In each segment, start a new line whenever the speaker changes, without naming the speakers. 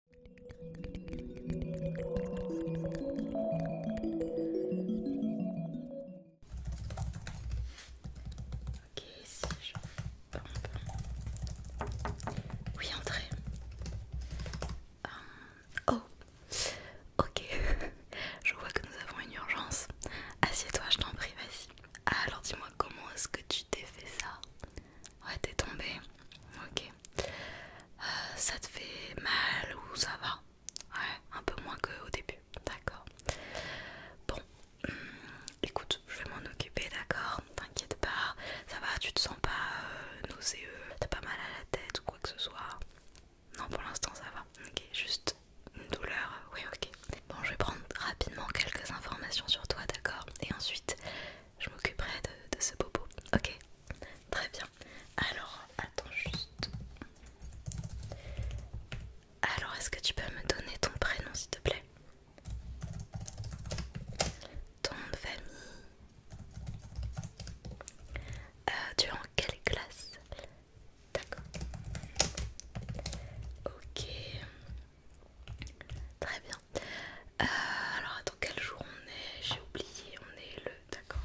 Ok, ici je... Oui, entrez. Euh, oh, ok. je vois que nous avons une urgence. Assieds-toi, je t'en prie, vas-y. Alors dis-moi, comment est-ce que tu t'es fait ça Ouais, t'es tombé Ok. Euh, ça te fait mal ou ça va Ouais, un peu moins qu'au début. D'accord. Bon, hmm, écoute, je vais m'en occuper, d'accord T'inquiète pas. Ça va, tu te sens pas euh, nauséeux T'as pas mal à la tête ou quoi que ce soit Non, pour l'instant, ça va. Ok, juste une douleur. Oui, ok. Bon, je vais prendre rapidement quelques informations sur toi, d'accord Et ensuite, je m'occuperai de, ce bobo. Ok, très bien. Alors, attends juste. Alors, est-ce que tu peux me donner ton prénom, s'il te plaît Ton de famille euh, Tu es en quelle classe D'accord. Ok. Très bien. Euh, alors attends, quel jour on est J'ai oublié, on est le... D'accord.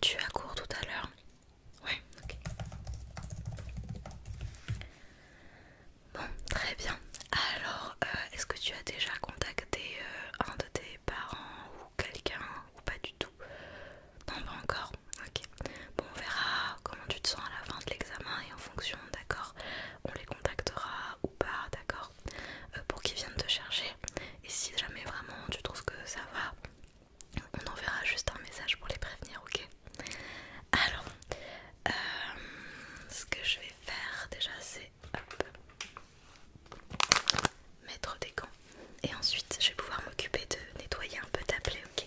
Tu as cours tout à l'heure Ouais, ok. Bon, très bien. Alors, euh, est-ce que tu as déjà contacté euh, un de tes parents ou quelqu'un ou pas du tout Non, pas encore ok. Bon, on verra comment tu te sens à la fin de l'examen et en fonction, d'accord On les contactera ou pas, d'accord euh, Pour qu'ils viennent te chercher. Et si jamais vraiment tu trouves que ça va, on enverra juste un message pour les prévenir, ok Alors, euh, ce que je vais faire déjà, c'est mettre des gants. Et ensuite, je vais pouvoir m'occuper de nettoyer un peu ta plaie, ok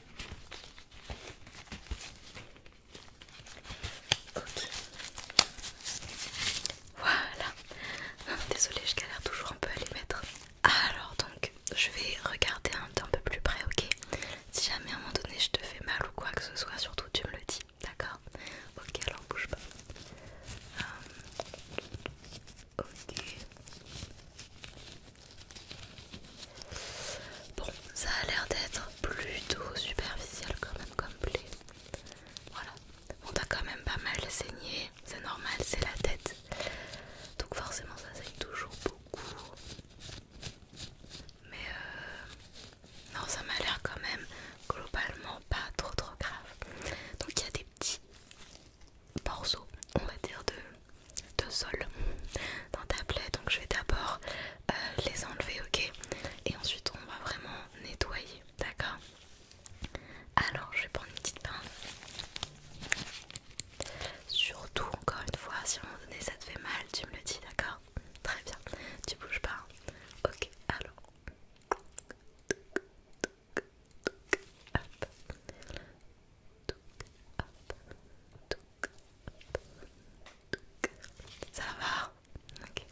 Ok. Voilà. désolée, je galère toujours un peu à les mettre. Alors donc, je vais regarder un peu plus près, ok Si jamais à un moment donné je te fais mal ou quoi que ce soit, surtout tu me le dis, d'accord Ok, alors bouge pas. Euh, ok. Bon, ça a l'air d'être plutôt superficiel quand même comme plaie. Voilà. On t'a quand même pas mal saigné, c'est normal, c'est la tête. Donc forcément ça saigne toujours beaucoup. Mais euh, non, ça m'a l'air quand même globalement pas trop trop grave. Donc il y a des petits morceaux, on va dire, de, sol dans ta plaie. Donc je vais d'abord euh, les enlever, ok Et ensuite on va vraiment nettoyer, d'accord Alors je vais prendre une petite pince. Surtout, encore une fois, si à un moment donné ça te fait mal, tu me le dis, d'accord Très bien, tu bouges pas. Hein. ok, alors. Ça va Ok.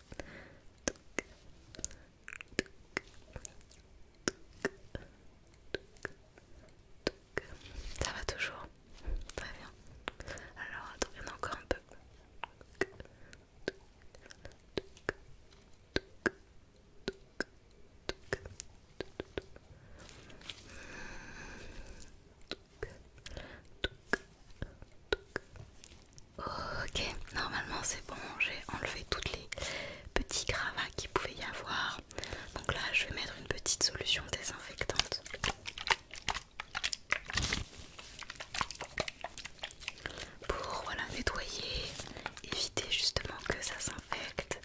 Ça va toujours Très bien. Alors, attends, encore un peu. Ok, normalement c'est bon, j'ai enlevé toutes les petits gravats qu'il pouvait y avoir. Donc là, je vais mettre une petite solution désinfectante. Pour voilà nettoyer, éviter justement que ça s'infecte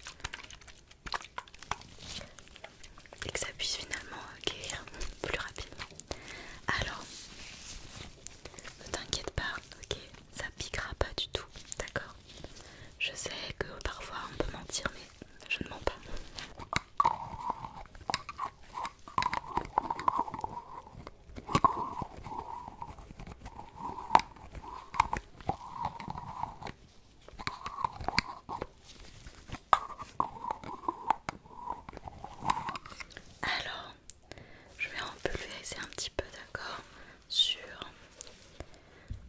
et que ça puisse finalement guérir plus rapidement. Alors, ne t'inquiète pas, ok, ça piquera pas du tout, d'accord Je sais que parfois on peut mentir, mais je ne mens pas. Alors, je vais en pulvériser un petit peu, d'accord, sur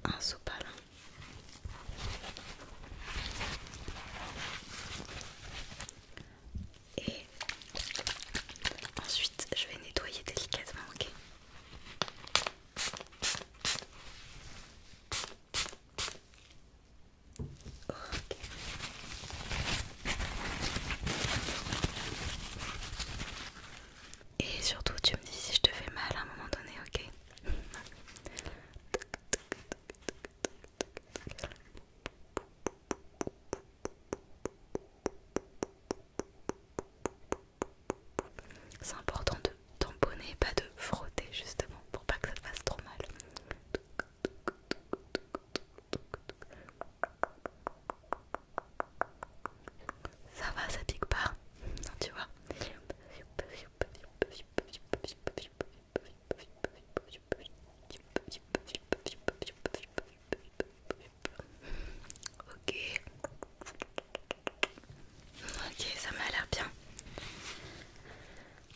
un sopalin. Et ensuite, je vais nettoyer délicatement, ok et surtout, tu me dis si je te fais mal à un moment donné, ok C'est important de tamponner, pas de frotter justement pour pas que ça te fasse trop mal. Ça va, ça pique pas, non, tu vois. Ok. Ok, ça m'a l'air bien.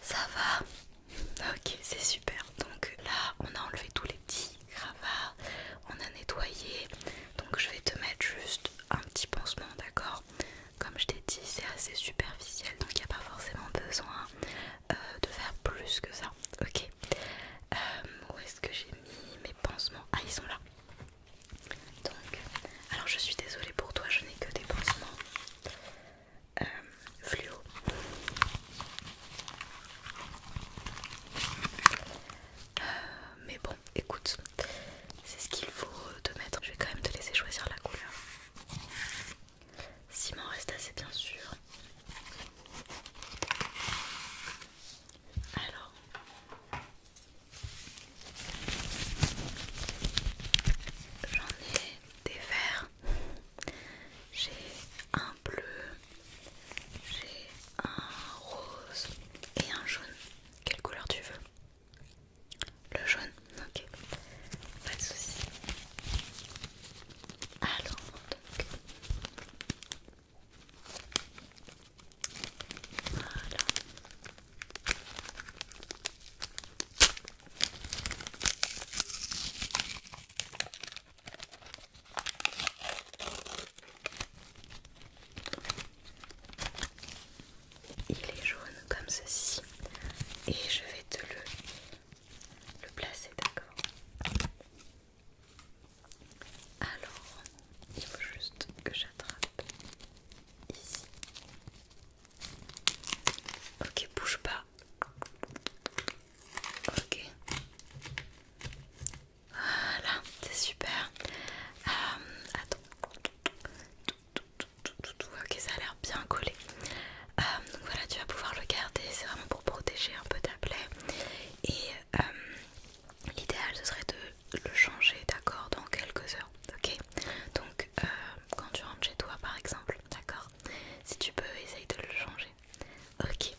Ça va. Ok, c'est super. Donc là, on a enlevé tous les petits cravats, on a nettoyé. Donc je vais te mettre juste un petit pansement, d'accord Comme je t'ai dit, c'est assez superficiel, donc il n'y a pas forcément besoin euh, de faire plus que ça. Ok. Euh, où est-ce que j'ai mis mes pansements Ah, ils sont là. Donc, alors je suis désolée pour toi, je n'ai que des pansements euh, fluo. Euh, mais bon, écoute, c'est ce qu'il faut te mettre. Je vais quand même te laisser choisir la couleur. S'il m'en reste assez, bien sûr. Alors, J'en ai des verts, j'ai un bleu, j'ai un rose et un jaune. Quelle couleur tu veux Le jaune Ok, pas de soucis. Alors, donc. Il est jaune comme ceci et je vais te le, le placer, d'accord Alors, il faut juste que j'attrape ici. Ok, bouge pas. Ok. Voilà, c'est super. Euh, attends. Ok, ça a l'air bien collé. Euh, donc voilà, tu vas pouvoir le garder. C'est vraiment pour protéger un peu ta plaie. Et euh, l'idéal, ce serait de le changer, d'accord, dans quelques heures, ok Donc, euh, quand tu rentres chez toi, par exemple, d'accord Si tu peux, essaye de le changer. Ok,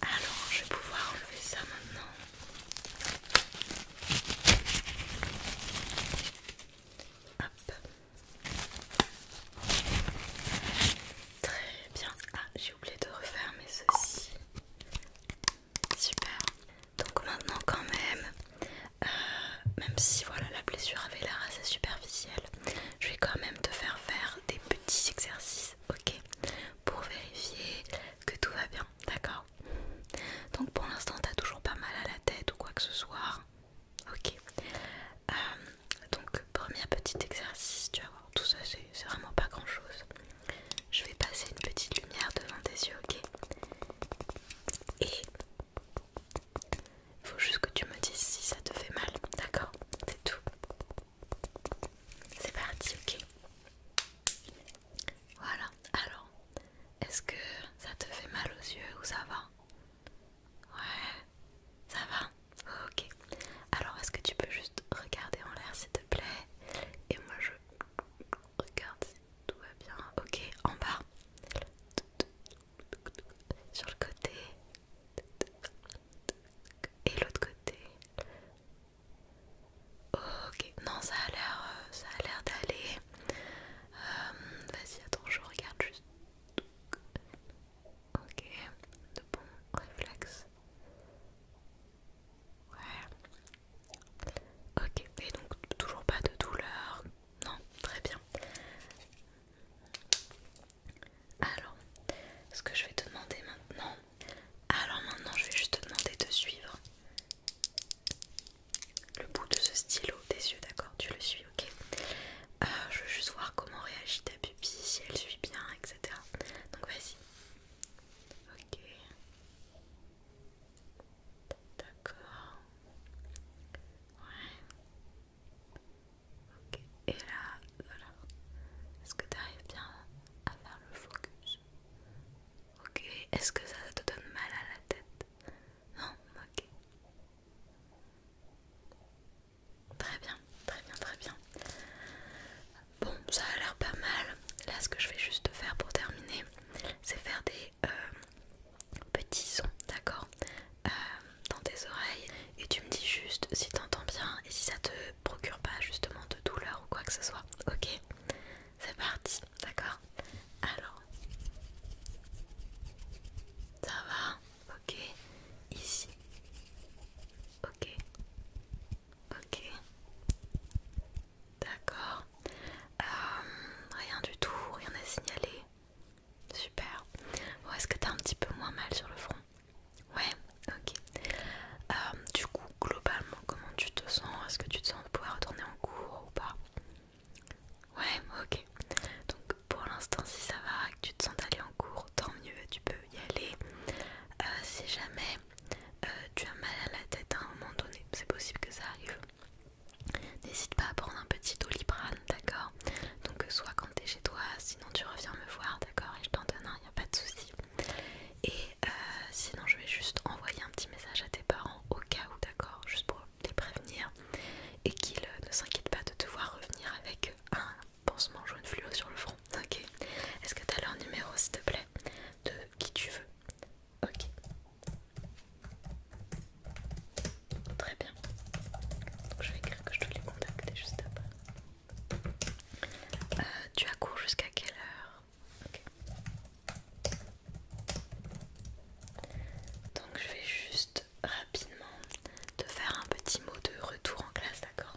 alors je vais pouvoir enlever ça maintenant. Très bien. Ah, j'ai oublié de refermer ceci. Super. Donc maintenant quand même, euh, même si voilà la blessure avait l'air assez superficielle, je vais quand même te faire faire des petits exercices, ok, pour vérifier que tout va bien, d'accord Donc pour l'instant t'as toujours pas mal à la tête ou quoi que ce soit, ok. Euh, donc premier petit exercice, tu vas voir, tout ça c'est vraiment pas grand chose. Je vais passer une petite lumière devant tes yeux, ok Et faut juste que tu me dises si ça te fait mal, d'accord C'est tout. C'est parti, ok Voilà, alors, est-ce que ça te fait mal aux yeux ou ça va Ouais, ça va Ok. Alors, est-ce que tu peux juste regarder en l'air, s'il te plaît Et moi, je regarde tout va bien, ok, en bas. Sur le côté. Et l'autre côté. Ok, non ça a l'air euh, ça a l'air d'aller. Euh, vas-y attends, je regarde juste. Ok, de bons réflexes. Ouais, Ok, et donc toujours pas de douleur Non, très bien. Alors, ce que je vais te demander maintenant... Alors maintenant, je vais juste te demander de suivre le bout de ce stylo des yeux, d'accord Tu le suis, ok euh, Je veux juste voir comment réagit ta pupille, si elle suit bien, etc. Donc vas-y. Ok. D'accord. Ouais. Ok. Et là, voilà. Est-ce que tu arrives bien à faire le focus Ok. Est-ce que ça, ça te donne mal à la tête Non Ok. Très bien, très bien, très bien. Bon, ça a l'air pas mal. Là, ce que je vais juste faire pour terminer, c'est faire des euh, petits sons, d'accord euh, Dans tes oreilles. Et tu me dis juste si t'entends bien et si ça te procure pas justement de douleur ou quoi que ce soit. Ok C'est parti, d'accord Alors. Ça va Ok. Ici. Ok. Ok. D'accord. Euh, rien du tout, rien à signaler. Super. Ou est-ce que t'as un petit peu moins mal sur le front Ouais, ok. Euh, du coup, globalement, comment tu te sens Est-ce que tu te sens pouvoir retourner en cours ou pas Ouais, ok. Donc pour l'instant, si ça va, que tu te sens d'aller en cours, tant mieux, tu peux y aller. Euh, si jamais euh, tu as mal à la tête à un moment donné, c'est possible que ça arrive. N'hésite pas à prendre un petit doliprane, d'accord Donc euh, soit quand t'es chez toi, sinon tu reviens me voir, d'accord Et je t'en donne un, il n'y a pas de souci. Et euh, sinon je vais juste envoyer un petit message à tes parents au cas où, d'accord Juste pour les prévenir et qu'ils ne s'inquiètent pas de te voir revenir avec un pansement jaune fluo sur le front, ok Est-ce que t'as leur numéro s'il te plaît De qui tu veux Ok. Très bien. Donc je vais écrire que je dois les contacter juste après. Euh, tu as cours jusqu'à quelle heure Ok. Donc je vais juste rapidement te faire un petit mot de retour en classe, d'accord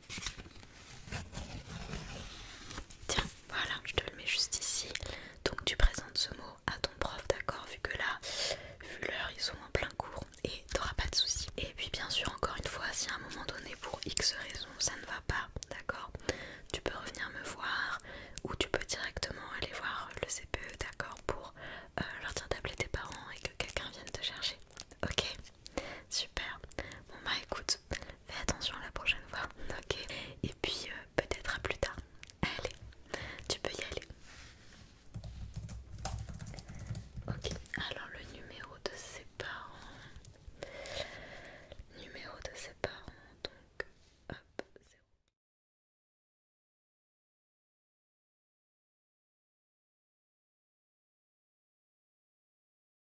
Tiens, voilà, je te le mets juste ici. Donc tu présentes ce mot à ton prof, d'accord Vu que là, vu l'heure, ils sont en plein cours et t'auras pas de soucis. Et puis bien sûr, encore une fois, si à un moment donné, pour X raison, ça ne va pas, d'accord Tu peux revenir me voir ou tu peux directement aller voir le CPE, d'accord Pour euh, leur dire d'appeler tes parents et que quelqu'un vienne te chercher, ok Super. Bon bah écoute, fais attention la prochaine fois. Ok. Et puis euh, peut-être à plus tard. Allez, tu peux y aller. Ok. Alors le numéro de ses parents. Numéro de ses parents. Donc hop.